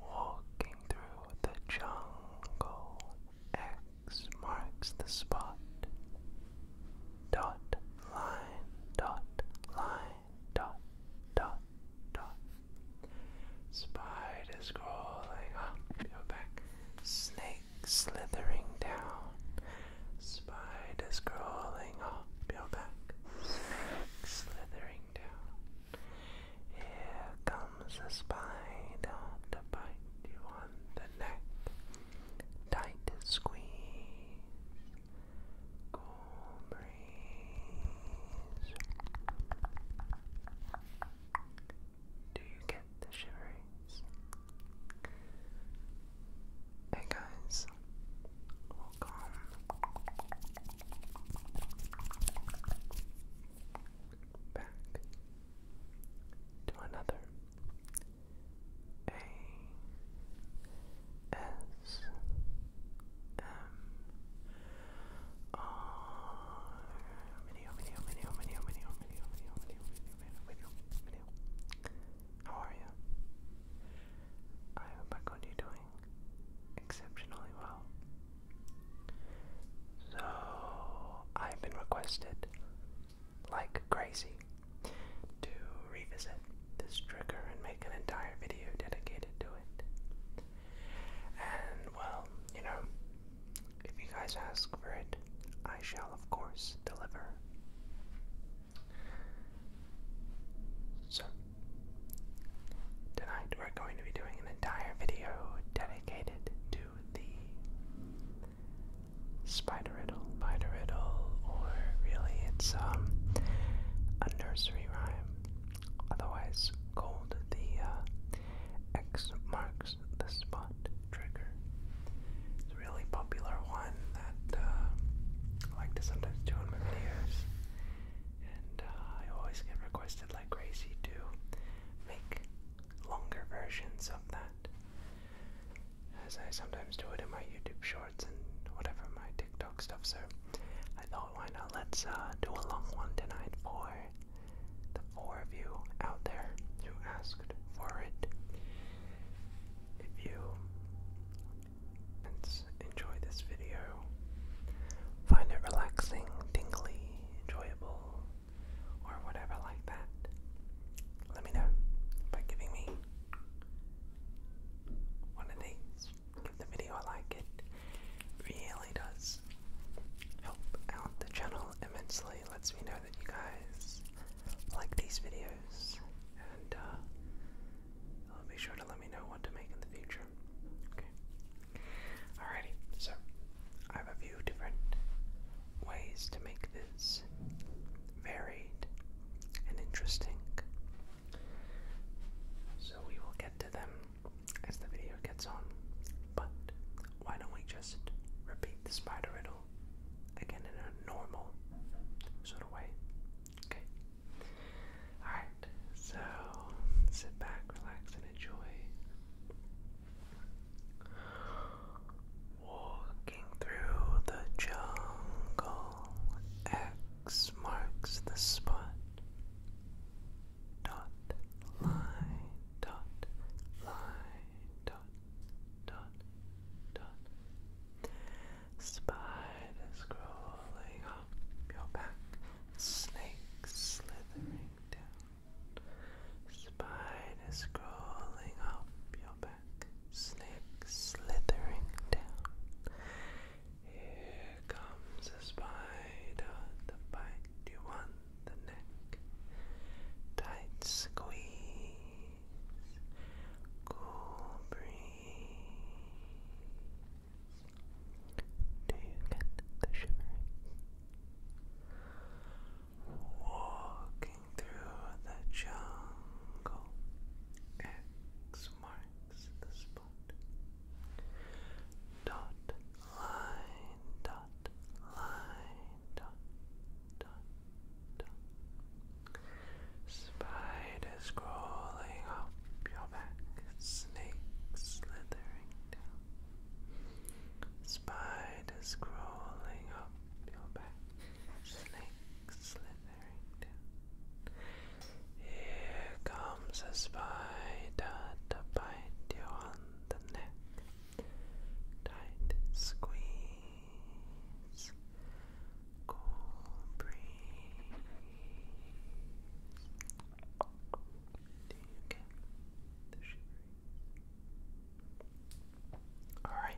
Walking through the jungle, X marks the spot. Dot line, dot line, dot, dot, dot. Spiders crawling up your back, snakes slithering down. Spiders crawling up your back, snakes slithering down. Here comes a spider to bite you on the neck. Tight squeeze, cool breeze. Do you get the shiveries? Hey guys, Welcome. Back to another A S M R How are you? I am back on you doing exceptionally well. So I've been requested, like crazy, to revisit this trigger and make an entire video dedicated to it. And well, you know, if you guys ask for it, I shall of course deliver. So, tonight we're going to be doing an entire video dedicated to the spider riddle, spider riddle, or really it's um, a nursery rhyme, otherwise called the uh, X marks the spot trigger. It's a really popular one that uh, I like to sometimes do in my videos and uh, I always get requested like crazy to make longer versions of that, as I sometimes do it in my YouTube shorts and whatever my TikTok stuff. So I thought, why not? Let's uh, do a long one tonight for the four of you out there who asked for it. If you Enjoy this video. Find it relaxing, tingly, enjoyable, or whatever like that. Let me know by giving me one of these. Give the video a like, it really does help out the channel immensely. lets me know that you guys like these videos uh, uh, be sure to let me know what to make in the future. Okay. Alrighty, so I have a few different ways to make this varied and interesting. So we will get to them as the video gets on. But why don't we just repeat the spider riddle again in a normal sort of way? Okay. Alright, so sit back, relax, and enjoy walking through the jungle. X marks the spot. Dot line, dot line, dot, dot, dot. Spider crawling up your back, snakes slithering down. Spiders crawling up your back, snakes slithering down. Here comes a spider to bite you on the neck. Tight squeeze, cool breeze. Do you get the shivering? Walking through the jungle, X marks the spot. Dot line, dot line, dot dot dot. Spiders crawling up your back, snake slithering down. Spiders crawling up your back, snake slithering down. Here comes a spider to bite you on the neck. Tight squeeze cool breeze. Do Alright,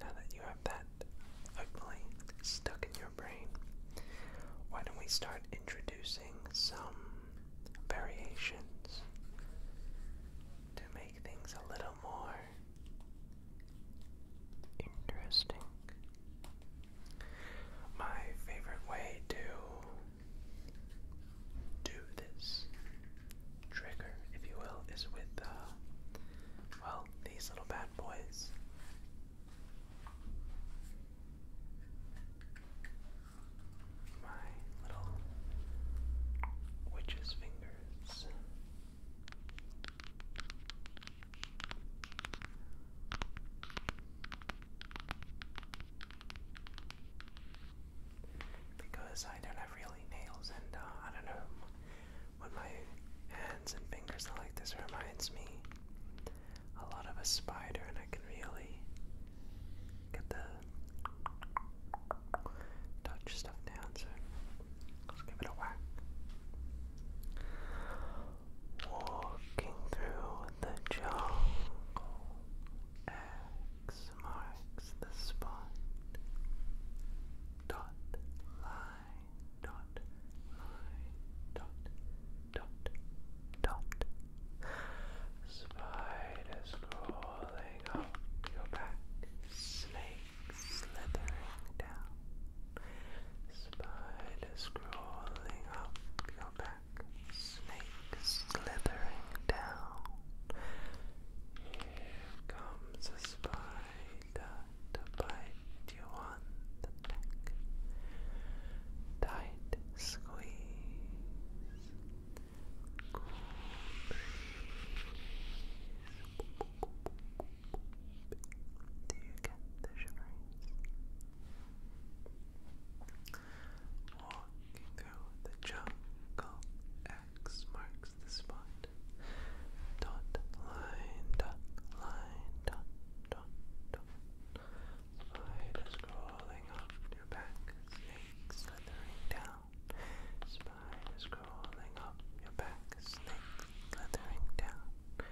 now that you have that hopefully stuck in your brain, why don't we start introducing some variations to make things a little more Interesting. My favorite way to do this trigger, if you will, is with, uh, well, these little bad boys. My little witch's fingers. Because I don't have really nails, and uh, I don't know when my hands and fingers are like this, reminds me a lot of a spider, and I can really get the touch stuff down, so let's give it a whack. Walking through the jungle, X marks the spot. Dot line, dot line, dot, dot, dot. Spiders crawling up your back, snake slithering down, spiders crawling up your back, snakes slithering down. Here comes a spider to bite you on the neck. Tight squeeze, do you Walking through the jungle, X marks the spot. Dot line, dot line, dot, dot, dot. Slide scrolling up your back, snakes slithering down. Spiders crawling up your back, snakes glittering down.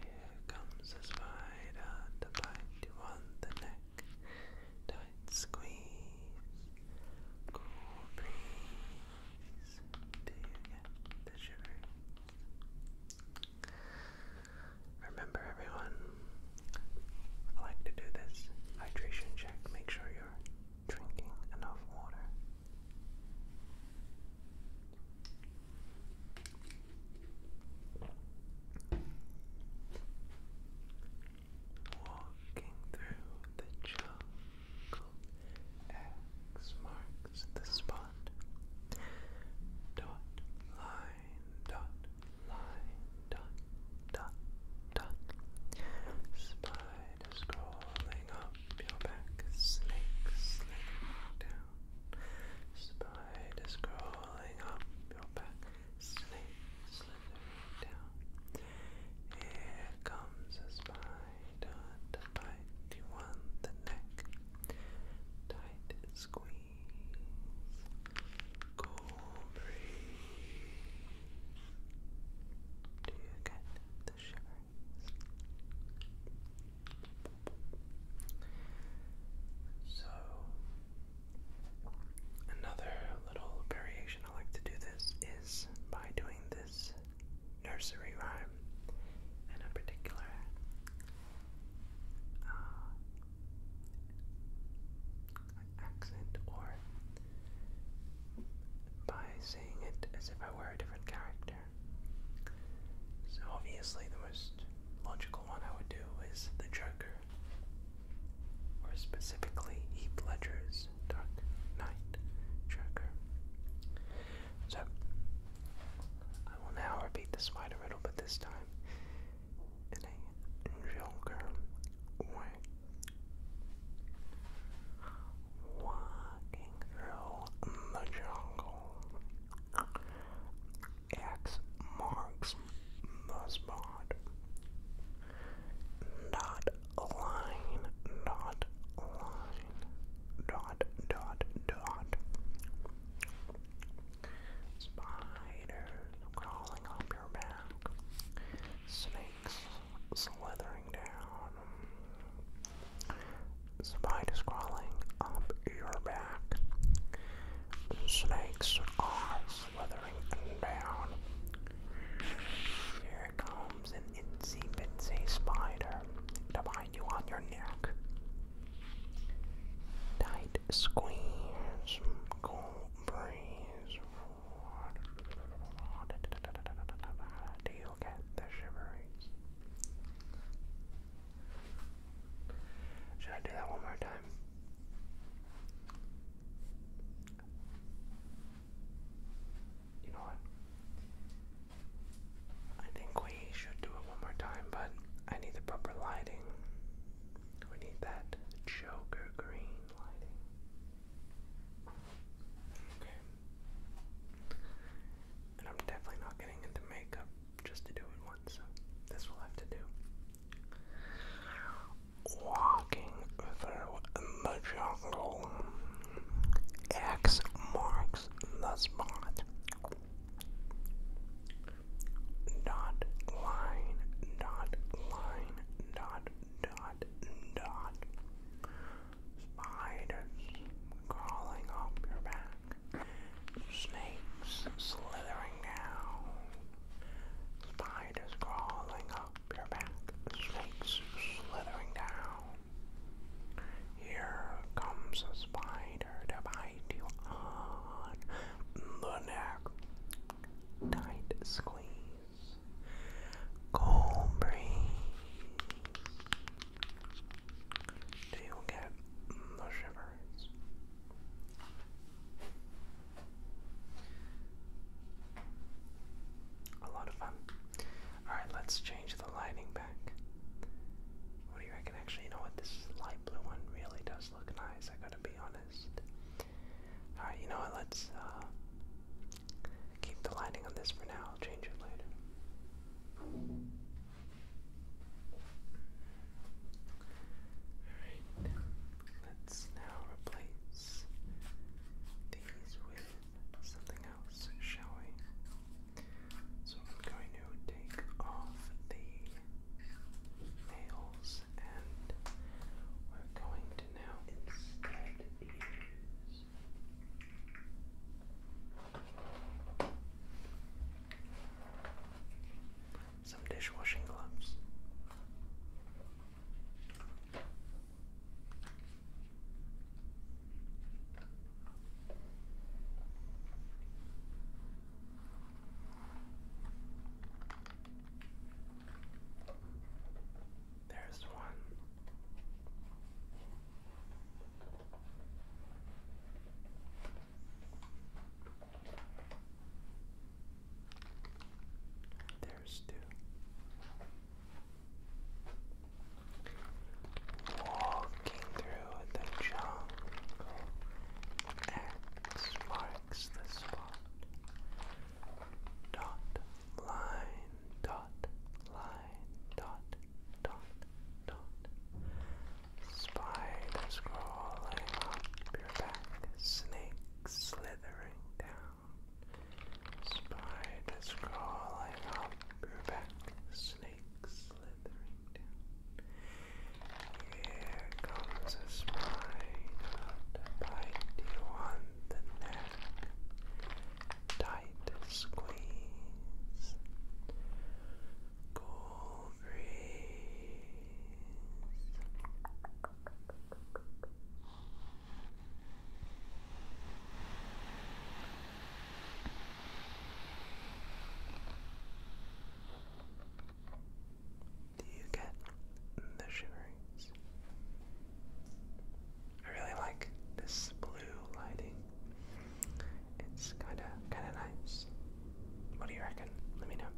Here comes a spider to bite you on the neck. Tight squeeze, cool breeze. the shivers? Remember, everyone, I like to do this hydration check. Make sure you're drinking enough water. Walking through the jungle, X marks the spot. Dot, line, dot, line, dot, dot, dot. Spider scrolling up your back, snake slithering down. Spider scrolling up your back, snake slithering down. Here comes a spider to bite you on the neck. Tight squeeze. Cool do you get the shivers? So, another little variation I like to do this is by doing this nursery rhyme and a particular uh, accent or by saying it as if I were a different character. So obviously the most logical one I would do is the Joker, or specifically Heath Ledger's Dark Knight Joker. So I will now repeat the spider riddle, but this time in a Joker word Walking through the jungle. X marks the spot. Dot line, dot line, dot, dot, dot. Spiders crawling up your back. Snakes slithering down. Spider crawling up your back. Snakes are slithering down. Here comes an itsy bitsy spider to bite you on your neck. Tight squeeze, cool breeze do you get the shiveries? Should I do that one more time? You know what? I think we should do it one more time, but I need the proper lighting. We need that Joker green lighting. Okay. And I'm definitely not getting into makeup just to do it once, so this will have to do. Walking through the jungle. X marks the spot dot line dot line dot dot dot spiders crawling up your back snakes slithering down spiders crawling up your back snakes slithering down here comes a spider to bite you on the neck tight squeeze, cool breeze. Do you get the shivers? A lot of fun. Alright, let's change the lighting back. What do you reckon? Actually, you know what? This light blue one really does look nice, I gotta be honest. Alright, you know what? Let's uh, keep the lighting on this for now. I'll change it later. Alright, let's now replace these with something else, shall we? So I'm going to take off the nails and we're going to now instead use some dishwashing gloves. There's one. There's two. Walking through the jungle, X marks Dot, line, dot, line, dot, dot, dot. Spiders crawling up your back, snakes slithering down. Spiders crawling up your back, snakes slithering down. Here comes a spider to bite you on the neck. Tight squeeze. Cool breeze. Do you get the shiverings? I really like this blue lighting. It's kinda kinda nice. What do you reckon? Let me know.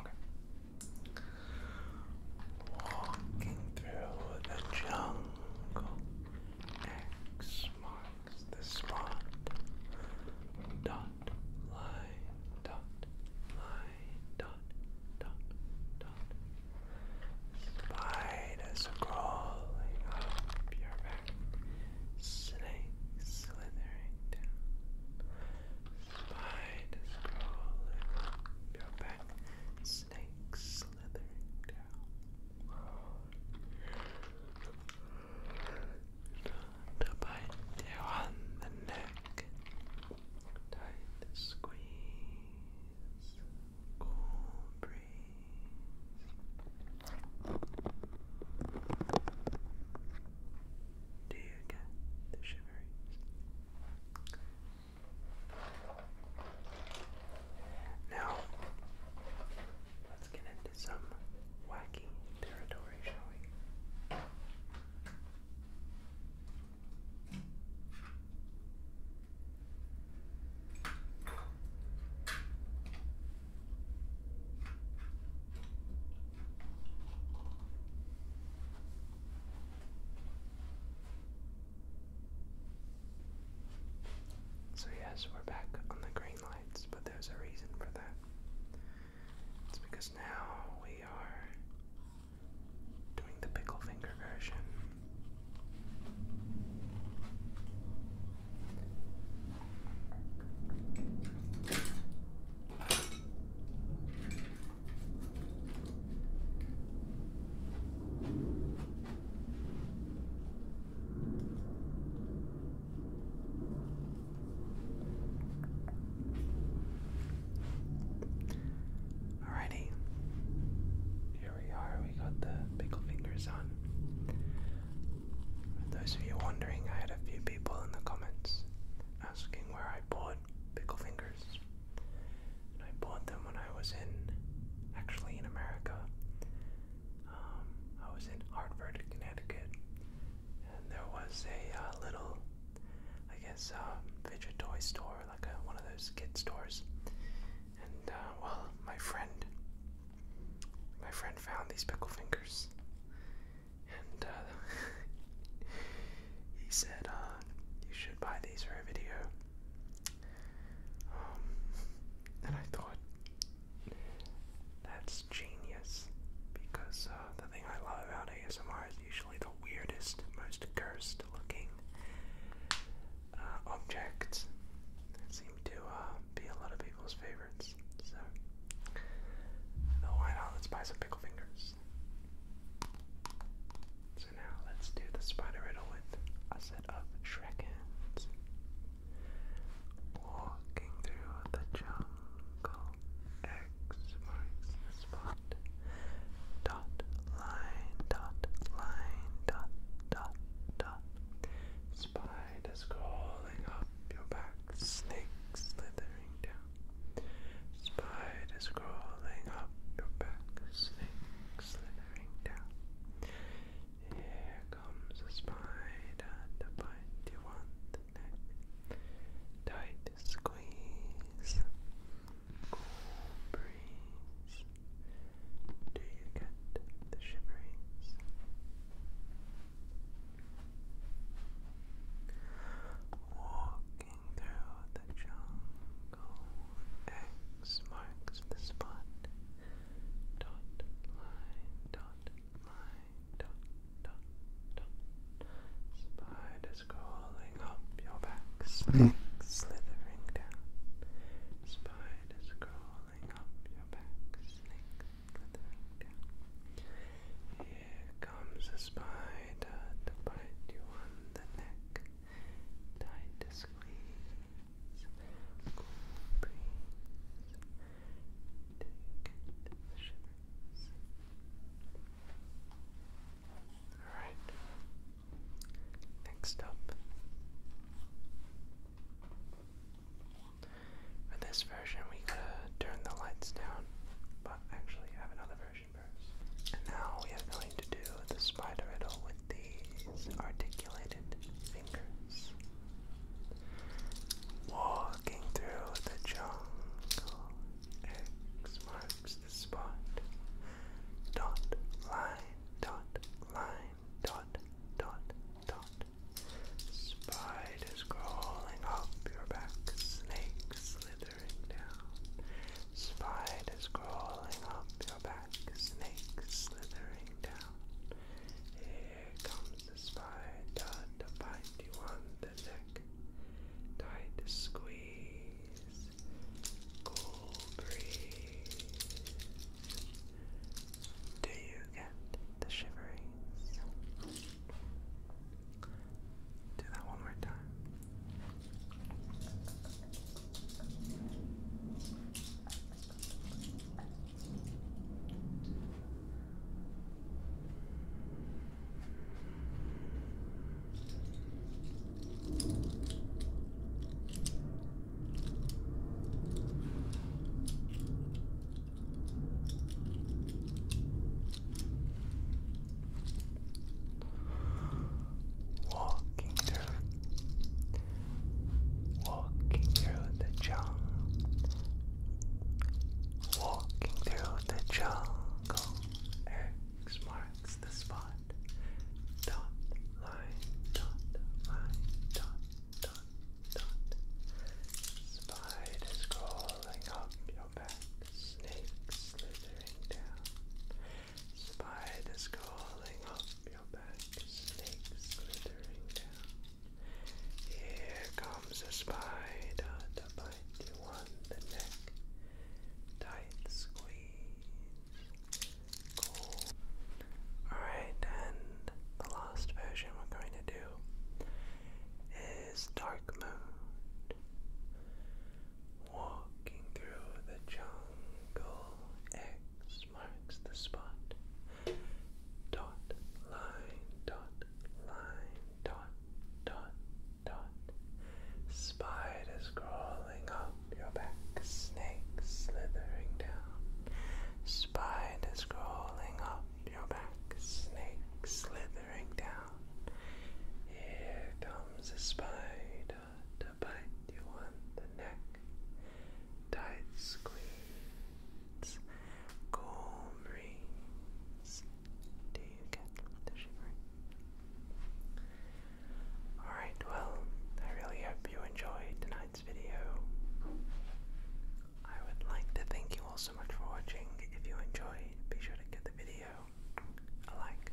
Okay. Walking through the jungle. X marks marks the spot. Dot line dot line dot dot dot. Spiders crawling up your back. Snakes slithering down. Spiders crawling up your back. Snakes slithering down to bite you on the neck, tight squeeze, cool breeze. Do you get the shiveries? Now, let's get into some wacky territory, shall we? So, yes, we're back on the green but there's a reason for that. It's because now we are doing the pickle finger version. Alrighty. Here we are. We got the pickle fingers on. For those of you wondering, I had a few people in the comments asking where I bought pickle fingers. I bought them when I was in, actually in America. Um, I was in Hartford, Connecticut, and there was a uh, little, I guess, um, fidget toy store, like one of those kid stores. And uh, well, my friend, my friend found these pickle fingers, and uh, he said, uh, "You should buy these for a video." Um, and I thought, that's genius. Because uh, the thing I love about ASMR is usually the weirdest, most cursed looking uh, objects that seem to uh, be a lot of people's favorites. So, why not? Let's buy some pickle fingers. So, now let's do the spider riddle with a set of Shrek hands. Walking through the jungle, X marks the spot. Dot line, dot line, dot dot dot. Spiders crawling up your back, snake slithering down. Spiders crawling up your back, snake slithering down comes a spider to bite you on the neck. Tight squeeze, breeze. Do you get the shiveries? Walking through the jungle, X marks the spot dot line dot line dot dot dot spiders crawling up your back slick, slithering down spiders crawling up your back slick, slithering down here comes a spider to bite you on the neck tight to squeeze Alright, next up. For this version, we could turn the lights down, but actually, I have another version first. And now we are going to do the spider riddle, these articulated fingers, walking through the jungle. X marks the spot. Dot line, dot line, dot, dot, dot. Spiders crawling up your back, snakes slithering down. Spiders crawling up your back, snakes slithering here comes the spider to bite you on the neck. Tight squeeze, cool breeze. Do you get the shiverings? Do that one more time. Walking through Walking through the jungle. Walking through the jungle. X marks the spot. Dot line, dot line, dot, dot, dot. Spiders crawling up your back. Snakes slithering down. Spiders crawling up here comes a spider to bite you on the neck. Tight squeeze. Cool. Alright, and the last version we're going to do is dark mode. Walking through the jungle. X marks the spot. Dot, line, dot, line, dot, dot, dot. Spiders crawling up your back, snakes slithering down. Spiders crawling up your back, snakes slithering down. Here comes a spider. Alright, well, I really hope you enjoyed tonight's video. I would like to thank you all so much for watching. If you enjoyed, be sure to give the video a like.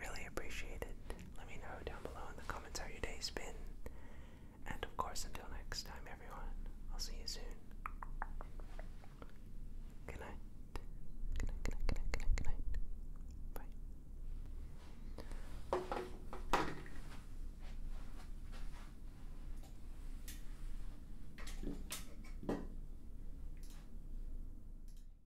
Really appreciate it. Let me know down below in the comments how your day's been. And of course, until next time, everyone, I'll see you soon. Good night. Good night, good night, good night, good night, Bye.